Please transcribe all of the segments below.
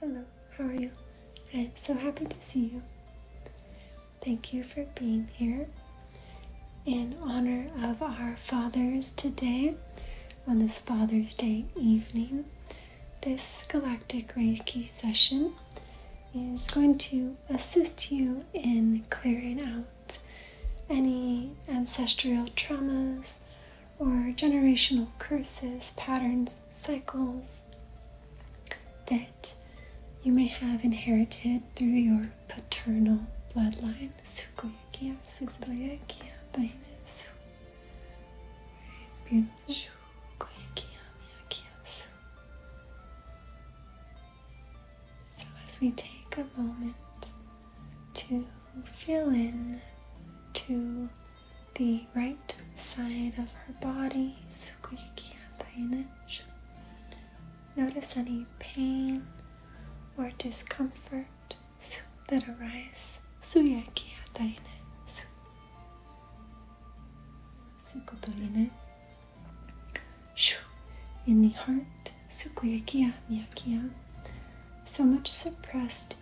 Hello, how are you? I am so happy to see you. Thank you for being here. In honor of our fathers today, on this Father's Day evening, this Galactic Reiki session is going to assist you in clearing out any ancestral traumas or generational curses, patterns, cycles that you may have inherited through your paternal bloodline. Beautiful. So, as we take a moment to Feel in to the right side of our body. Notice any pain or discomfort that arise. In the heart, so much suppressed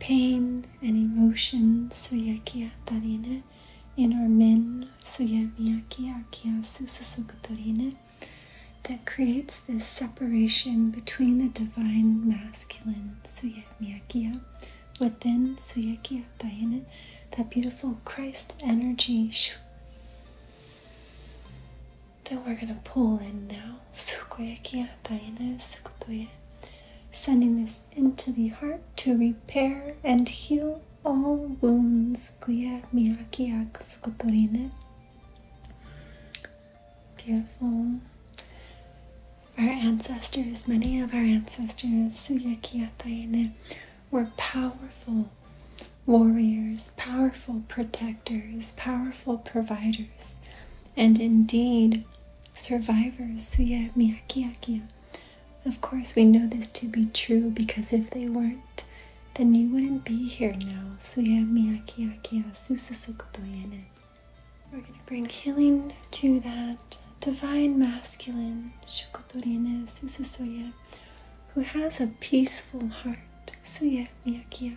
pain and emotion suyakia tarine in our men suyamiyaki akia sususukutorine that creates this separation between the divine masculine suyamiyakia within suyakia tarine that beautiful Christ energy that we're going to pull in now. Sukoyaki Atayana Sukutoya, sending this into the heart to repair and heal all wounds. Kuya Miyaki Sukotorine. Beautiful. Our ancestors, many of our ancestors, Suyaki Atayana, were powerful warriors, powerful protectors, powerful providers and indeed survivors, Suya Miyakiakia. Of course, we know this to be true because if they weren't, then you wouldn't be here now. Suya Miyakiakia Sususukoto Yene. We're going to bring healing to that divine masculine, Shukotorine Sususoya, who has a peaceful heart, Suya Miyakia.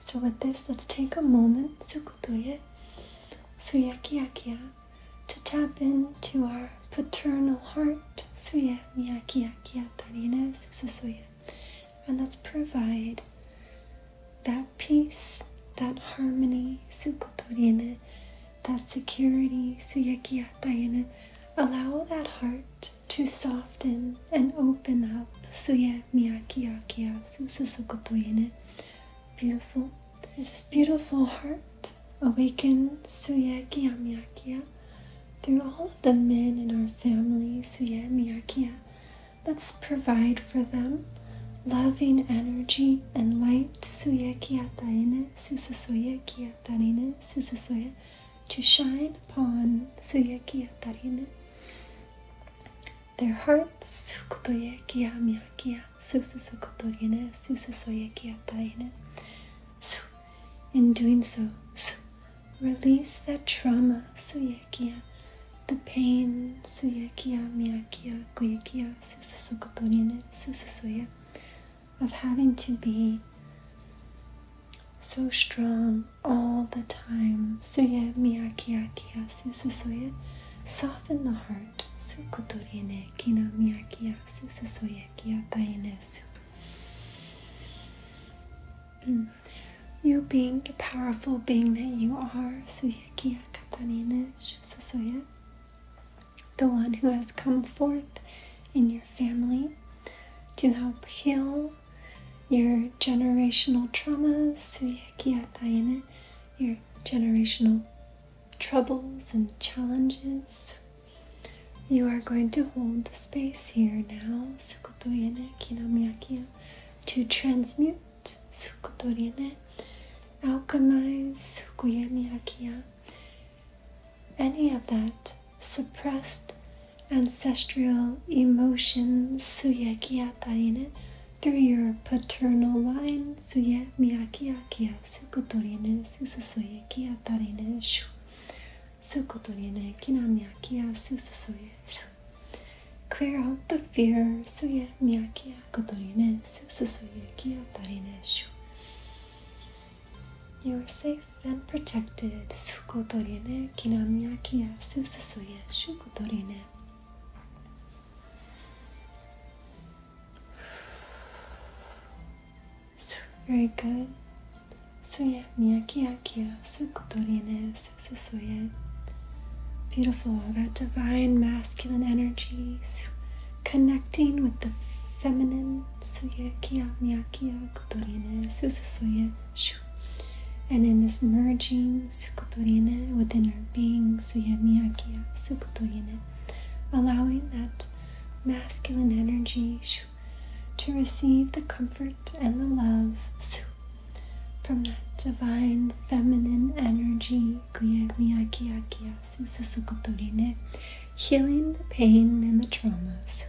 So with this, let's take a moment, sukutuye, suyakiyakiya, to tap into our paternal heart, suya miyakiyakiya tarine sususuya. And let's provide that peace, that harmony, sukutorine, that security, suyakiya tayene. Allow that heart to soften and open up. Suye miyaki yakiyasu susukotoine. Beautiful. There's this beautiful heart awaken, suye miyaki through all of the men in our family, suye miyaki. Let's provide for them loving energy and light suye kiyataine sususoye kiyatarine sususoye to shine upon suye kiyatarine. Their hearts, sukutoyekia miakia, susu sukutorine, in doing so, release that trauma, suyekia, the pain, suyekia miakia, kuyekia, susu of having to be so strong all the time. Suye miyakiyakiya sususoye. Soften the heart. Sukutorine kina miyakiya sususoye kiya tainesu. Mm. You being the powerful being that you are, Suye kiya katanine sususoye. The one who has come forth in your family to help heal your generational traumas, your generational troubles and challenges. You are going to hold the space here now, to transmute, alchemize, any of that suppressed ancestral emotions through your paternal line, Suye Miyaki Akia, Sukotorine, Sususoye Kia Tarine kina Sukotorine Kinamiakia Sususoye Shu. Clear out the fear, Suye Miyaki Akotorine, Sususoye Kia Tarine Shu. You are safe and protected, Sukotorine Kinamiakia Sususoye Shukotorine. すごい very good すやみやきやきやすことりねすすすや beautiful that divine masculine energy su connecting with the feminine suya kiya miyakiya kotorine sususuya shu and in this merging sukutorina within our being, suya miyakya allowing that masculine energy to receive the comfort and the love su from that divine feminine energy, kuya miyakya sukutorina, healing the pain and the traumas.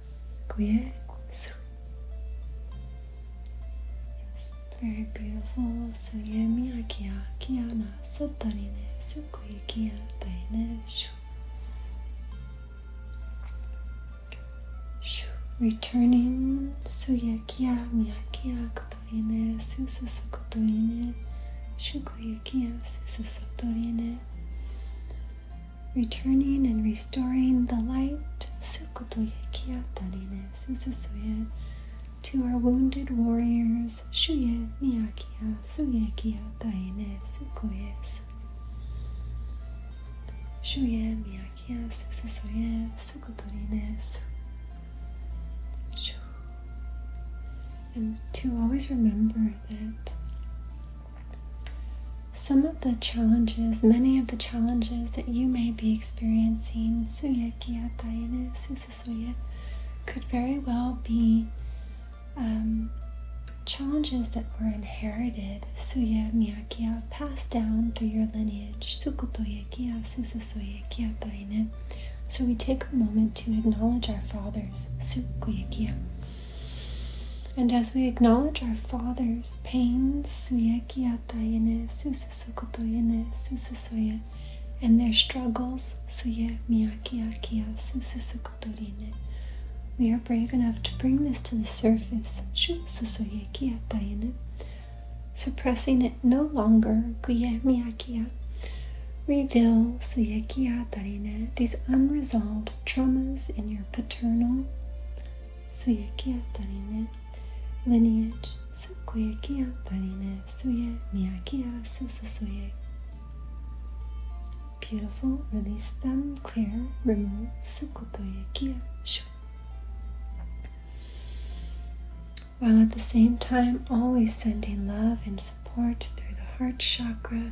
Yes, very beautiful. So akia kiana satari ne sukui kia tai ne shu. returning su kia miya kia kotori su sususokotori ne shukui su sususokotori ne returning and restoring the light to our wounded warriors shuye miyakia suyekia daine sukoye shuye miyakia sususoye sukotorine and to always remember that some of the challenges, many of the challenges that you may be experiencing, could very well be um, challenges that were inherited, suya miyakia, passed down through your lineage, sukutoyakia, sususoyakia taine. So we take a moment to acknowledge our fathers, sukuyakia, and as we acknowledge our Father's pains, sususoye, and their struggles, we are brave enough to bring this to the surface, su suppressing it no longer, reveal these unresolved traumas in your paternal Suya kia lineage Sukuya kia tarine Suya miyakia Beautiful, release them, clear, remove Sukutoya kia shu while at the same time always sending love and support through the heart chakra,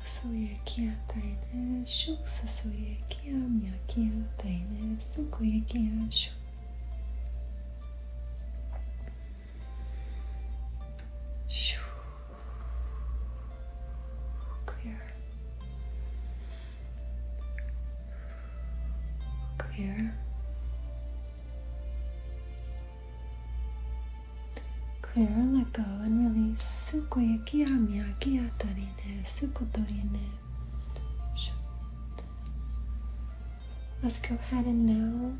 소예기야 다이네 슉소 소예기야 미야기야 다이네 소고예기야 슉 슉. Clear. Clear. Clear, let go and release. Sukuya kia mia kia tani let Let's go ahead and now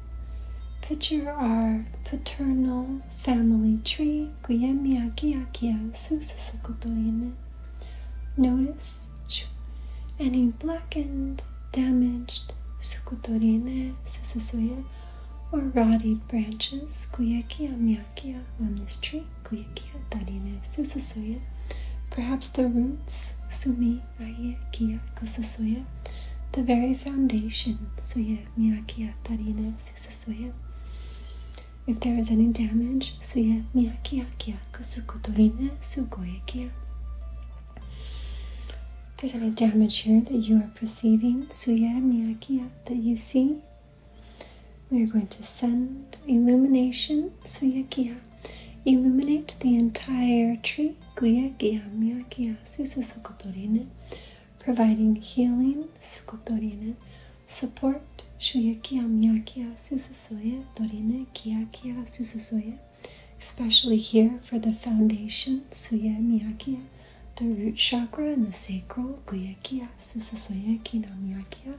picture our paternal family tree. Notice any blackened, damaged or rotted branches. Brachia on this tree, Kuyakia, Darina, Susasuya. Perhaps the roots, Sumi, Raya, Kia, Kusasuya. The very foundation, Suya, Mirakia, Darina, Susasuya. If there is any damage, Suya, Mirakia, Kia, Kusukutorina, Sugoyakia. If there's any damage here that you are perceiving, Suya, miakia that you see, we are going to send illumination, suyakia, illuminate the entire tree, guyakia, miyakia, sususukotorine, providing healing, sukotorine, support, shuyakia, miyakia, sususuye, torine, kiakia, sususuye, especially here for the foundation, suya, miyakia, the root chakra and the sacral, guyakia, sususuye, kinamiakia.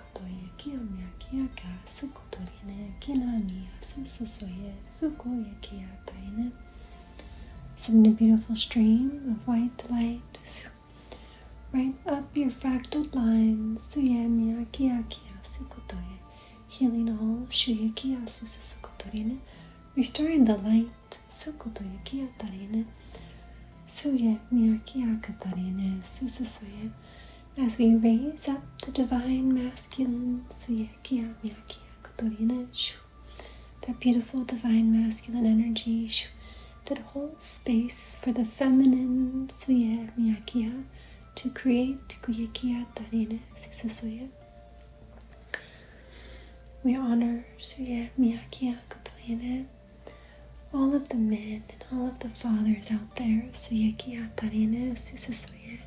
Sukotoyaki omyaki aka sukotorine a beautiful stream of white light right up your fractal lines. Suyamyaki akia sukotoye. Healing all shuyaki asusu sukotorine. Restoring the light sukotoyaki atarine. Suye miyaki akatarine sususoye as we raise up the divine masculine that beautiful divine masculine energy that holds space for the feminine to create we honor all of the men Aaron and all of the fathers out there, Suyakia Tarene, Sususuye,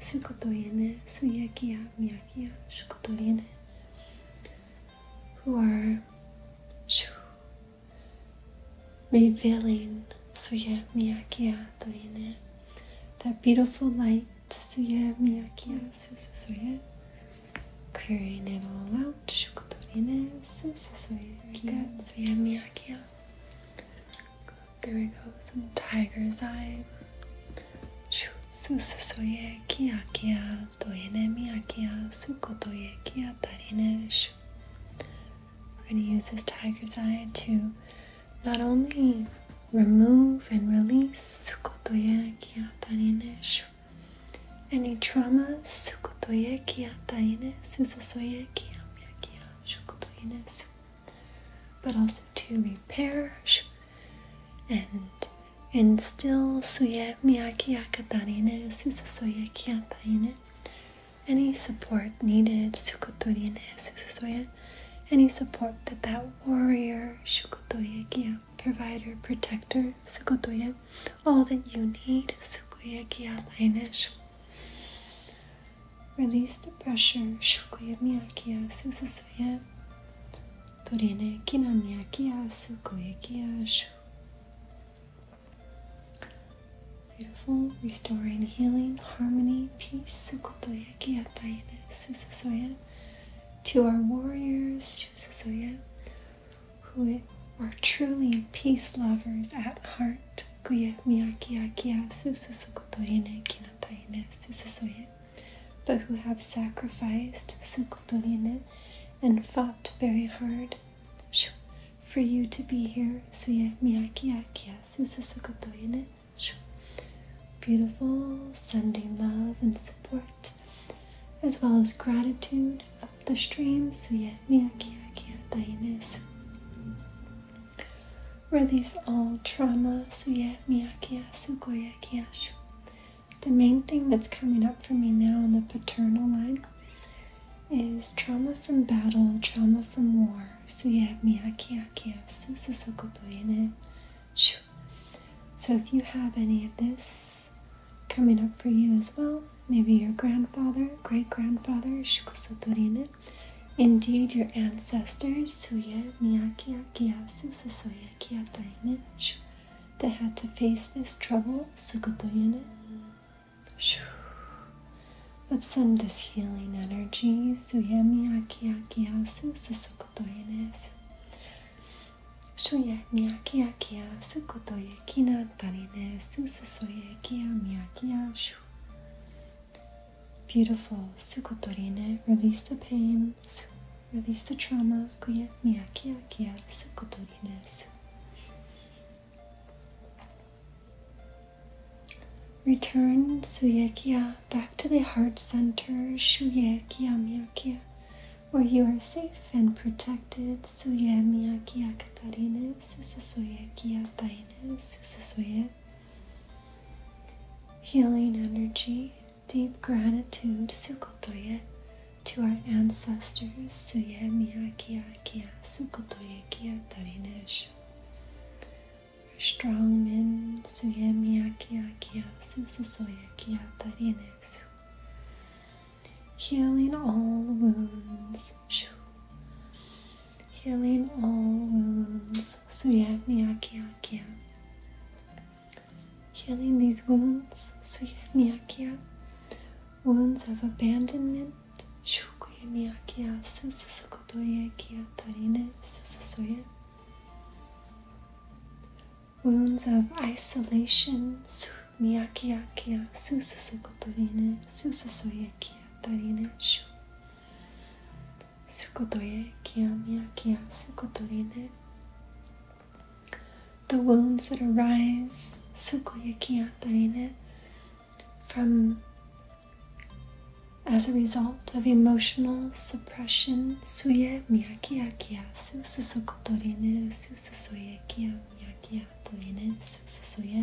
Sukotoyene, Suyakia Miyakia, Shukotoyene, who are revealing Suya Miyakia Tarene, that beautiful light, Suya Miyakia, Sususuye, clearing it all out, Shukotoyene, Sususuye, Suya Miyakia. There we go. Some tiger's eye. Susu soye kia kia toine mia kia suko toye kia tarine shu. We're going to use this tiger's eye to not only remove and release sukotoye kia tarine shu. Any trauma sukotoye kia tarine susu soye kia mia kia Shokudainas, but also to repair and still instill Suye Miyaki Akadarine, Sususoye Kiataine, any support needed, Sukotorine, Sususoye, any support that that warrior, Shukotoye Kia, provider, protector, Sukotoye, all that you need, Sukoye Kia Lainish. Release the pressure. Beautiful, restoring healing, harmony, peace, sukotoyaki ataine, To our warriors, sususoye, who are truly peace lovers at heart očekuje Miyakiakia Sususukotorine Kinataine Sususoye, but who have sacrificed Sukotorine and fought very hard for you to be here, Suye Miyakiakia Sususukotorine. Beautiful, sending love and support, as well as gratitude up the stream, Suye Miyakiakia Tainesu. Release all trauma, suya miyakia, sukoyakiashu. The main thing that's coming up for me now in the paternal line is trauma from battle, trauma from war, suya miyakiakia, sususokotoyene. So if you have any of this coming up for you as well, maybe your grandfather, great grandfather, shukusotorine, Indeed, your ancestors, Suya, Miyaki, Akiyasu, that had to face this trouble, Sukutoyana. Let's send this healing energy, Suya, Miyaki, Akiyasu, Sosokotoyana. Shuya, Miyaki, Akiyasu, Beautiful. Sukotorine. Release the pain. Release the trauma. Kuya miyakia kia. Sukotorine. Su. Return Suyekia back to the heart center, Shuyekia Miyakia, where you are safe and protected, Suye Miyakia Katarine, Sususuyekia Taina. Susu soya, healing energy, deep gratitude, Sukotoya, to our ancestors, Suya Miyaki Akia, Sukotoya Kia Tarinesh, strong men, Suya Miyaki Akia, Susasuya Kia Tarinesu, healing all wounds healing all wounds. Suyakmiyakia. Healing these wounds. Suyakmiyakia. Wounds of abandonment. Shukuyamiyakia. Sususukutoyekia. Tarine. Sususuye. Wounds of isolation. Miyakiakia. Sususukutorine. Sususuyekia. Tarine. Shu. The wounds that arise, sukoye kiyatarine, from as a result of emotional suppression, suye miyakiya kiya sususokotorine sususoye kiya miyakiya torine sususoye.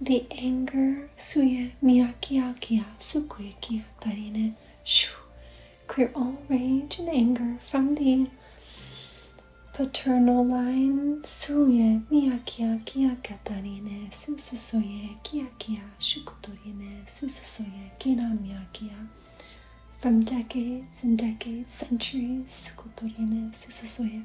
The anger suye miyakiakia sukuikia Katarine, shu. Clear all rage and anger from the paternal line suye miyakiakia katarine sususoye kiakia shukutorine sususoye kinamiakia. From decades and decades, centuries, sukutorine sususoye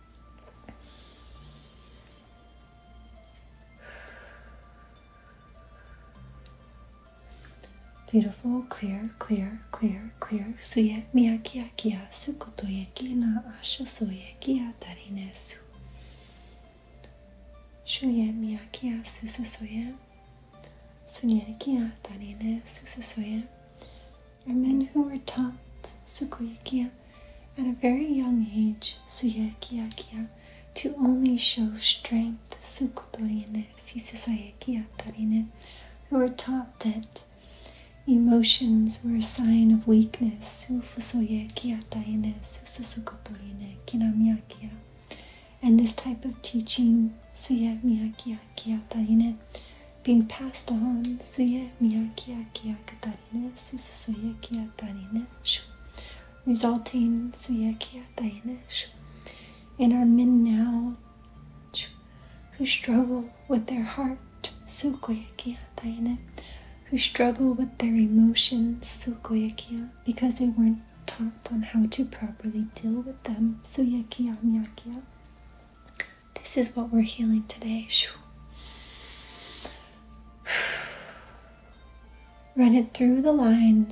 Beautiful, clear, clear, clear, clear. Suye miyaki akia su kotoyeki na asha soyeki atarine su. su miyaki a susa soye. Sunyeki su susa soye are men who were taught Sukuyakiya at a very young age, Suyakiyakiya, to only show strength, Sukutorine, Shisasayakiyatarine, who were taught that emotions were a sign of weakness, Sufusoyakiyatarine, Sususukutorine, Kinamiyakiya. And this type of teaching, Suyamiyakiyakiyatarine, being passed on suya miyakia kia katarina susu suya shu resulting suya kia tarina and our men now who struggle with their heart sukoya kia who struggle with their emotions sukoya kia because they weren't taught on how to properly deal with them suya kia this is what we're healing today. Run it through the line.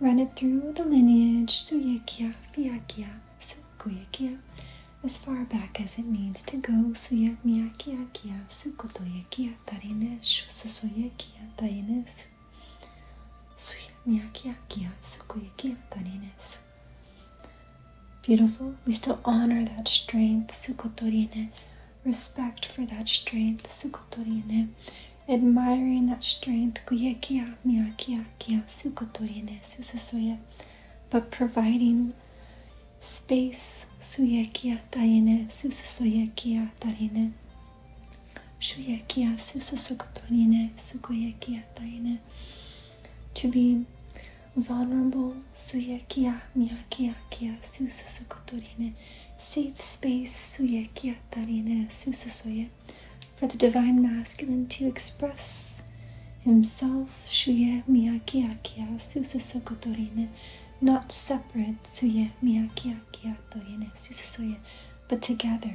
Run it through the lineage. Suye kia fia As far back as it needs to go. Suye mia kia kia sukotoye kia tarine shususoye Beautiful. We still honor that strength, sukotorine. Respect for that strength, sukotorine. Admiring that strength, kuyekia, miakia, kia, sukotorine, susasoya. But providing space, suyekia, taine, susasoyekia, tarine. Shuyekia, susasokotorine, sukoyekia, taine to be vulnerable suyekia miyakia kia sususukotorine safe space suyekia tarine sususoye for the divine masculine to express himself shuye miyakia kia sususukotorine not separate suye miyakia kia torine sususoye but together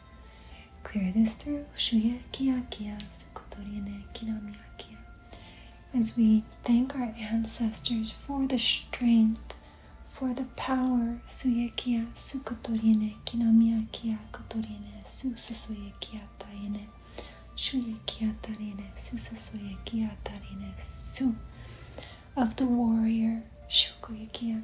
Clear this through. As we thank our ancestors for the strength, for the power, suyekia, sukotorine, kinomiakia, kotorine, sususoyekia taine, shuyekia tarine, sususoyekia tarine, su, of the warrior, shukoyekia,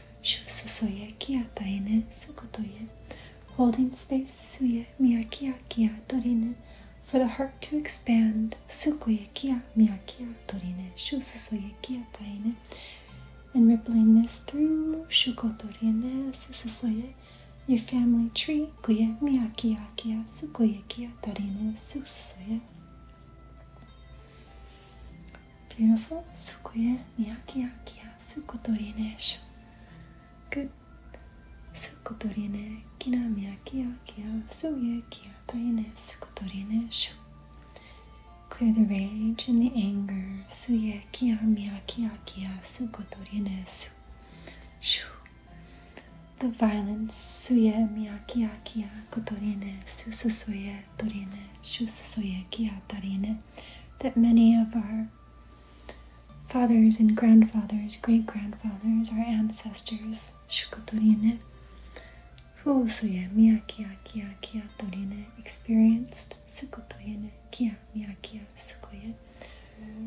Shu Shususoye kia taene sukotoye, holding space suye miyakia kia torine, for the heart to expand, sukoye kia miyakia torine, shususoye kia taene, and rippling this through shukotorine soye, your family tree, kuye miyakia kia sukoye kia torine sususoye. Beautiful. Sukuye miyaki akia sukotorinesh. Good. Sukotorine kina miyaki akia suye kia taine sukotorinesh. Clear the rage and the anger. Suye kia miyaki akia sukotorinesu. Shu. The violence suye miyaki akia kotorine sususuye Torene, Shusasoyekia Tarene, that many of our fathers and grandfathers, great grandfathers, our ancestors, who Fusuye Miyakia Kia Kia Torene, experienced Sukotoyene Kia Miyakia Sukoye.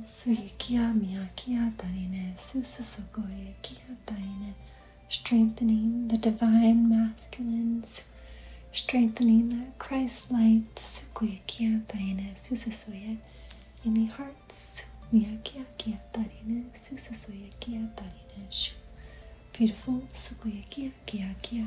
Surikia Miyakia Tarine Susasokoye Kia Tarine Strengthening the divine masculine strengthening that Christ-like tsukuyakia taene sususuya in the hearts miyakiakia tarine sususuyakia shu. Beautiful tsukuyakia kiakia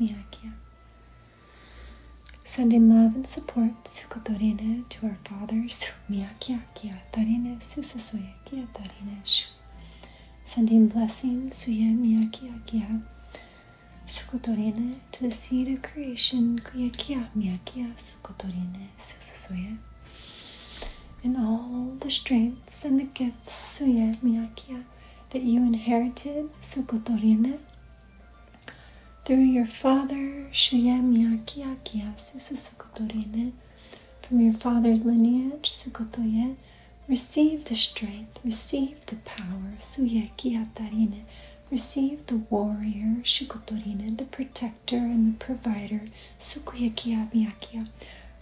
Miyakia. Sending love and support, Sukotorine, to our fathers, Miyakia, Kiyatarine, Susasuye, Kiyatarine, Shu. Sending blessings, Suye, Miyakia, Kiya, Sukotorine, to the seed creation, Kuyakia, Miyakia, Sukotorine, Susasuye. And all the strengths and the gifts, to Suye, Miyakia, that you inherited, Sukotorene through your father, Shuya Miyakiakia Susukotorime, from your father's lineage, Sukotoye, receive the strength, receive the power, Suya receive the warrior, Sukotorene, the protector and the provider, Sukuya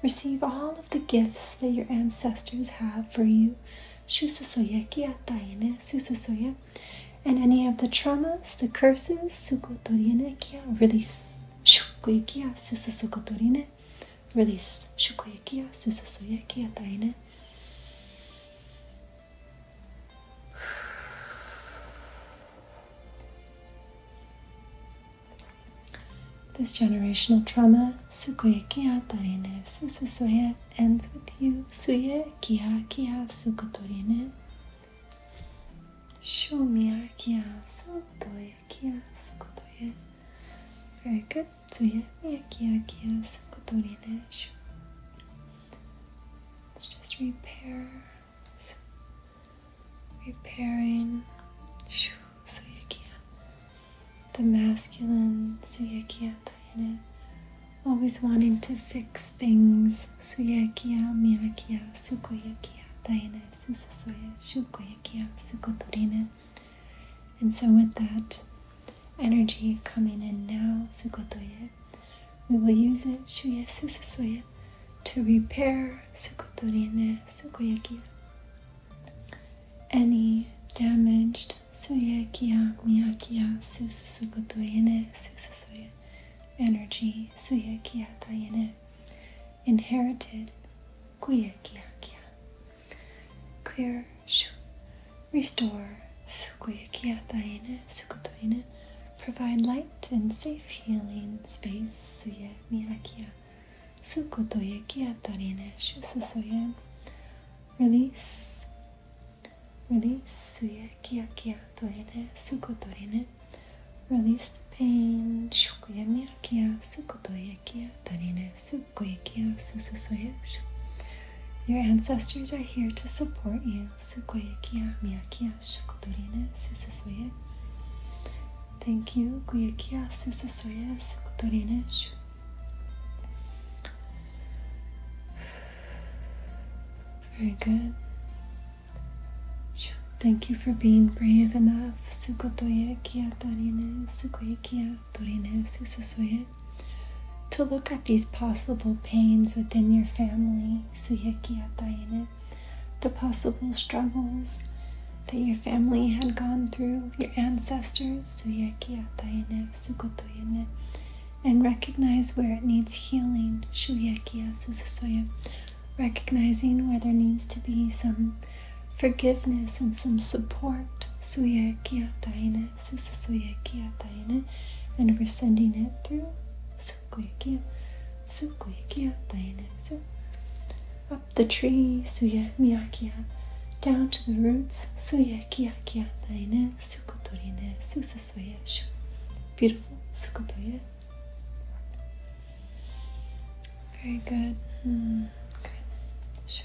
Receive all of the gifts that your ancestors have for you, and any of the traumas, the curses, release. Release. This generational trauma, sukoe kia tarine sususoye, ends with you, suye kia kia sukotorine. Shumia kia sutoye kia sukotoye. Very good. Suye mia kia kia sukotorine. Let's just repair. Repairing. Shoo. Suyakya. The masculine Suyakya Tayana. Always wanting to fix things. Suyakya, Miyakya, Sukoyakya, Tayana, Susasoya, Shukoyakya, Sukotorina. And so with that energy coming in now, Sukotoya, we will use it, su su Susasoya, to repair Sukotorina, Sukoyakya any damaged suyekiya miyakiya sususugotoyene sususuye energy suyekiya tayene inherited kuyekiyakiya clear shu restore sukuyekiya tayene sukotoyene provide light and safe healing space suye miyakiya Sukutoye kiatarine shususuye. Release. Release suye kia kiatorine sukotorine. Release the pain. Shukuye mia kia sukotoye kiatarine sukuye kia sususuye. Your ancestors are here to support you. Sukoye kia mia kia shukotorine sususuye. Thank you. Kuye kia sususuye sukotorine shukuye. Very good. Thank you for being brave enough. To look at these possible pains within your family, the possible struggles that your family had gone through, your ancestors, and recognize where it needs healing, Shuyekia, Sususoya, recognizing where there needs to be some forgiveness and some support, Suyekia Taine, Sususuyekia Taine, and we're sending it through Sukuyekia, Sukuyekia Taine, the tree, suya miakia, down to the roots, suya kiakia, daine, sukotorine, susasuyeshu. Beautiful, sukotoye. Very good. Good. Hmm, sure.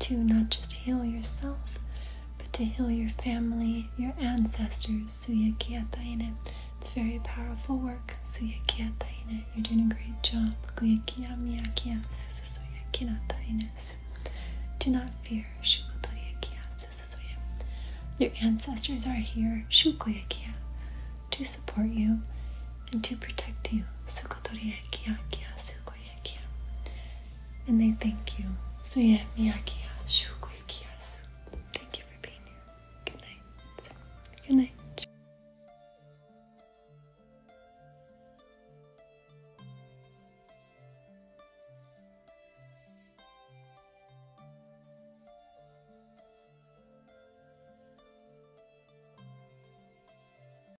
to not just heal yourself, but to heal your family, your ancestors. Suyakiataine. It's very powerful work. Suyakiataine. You're doing a great job. Do not fear. Your ancestors are here to support you and to protect you miyaki and they thank you. So yeah, miyaki Thank you for being here. Good night. Good night.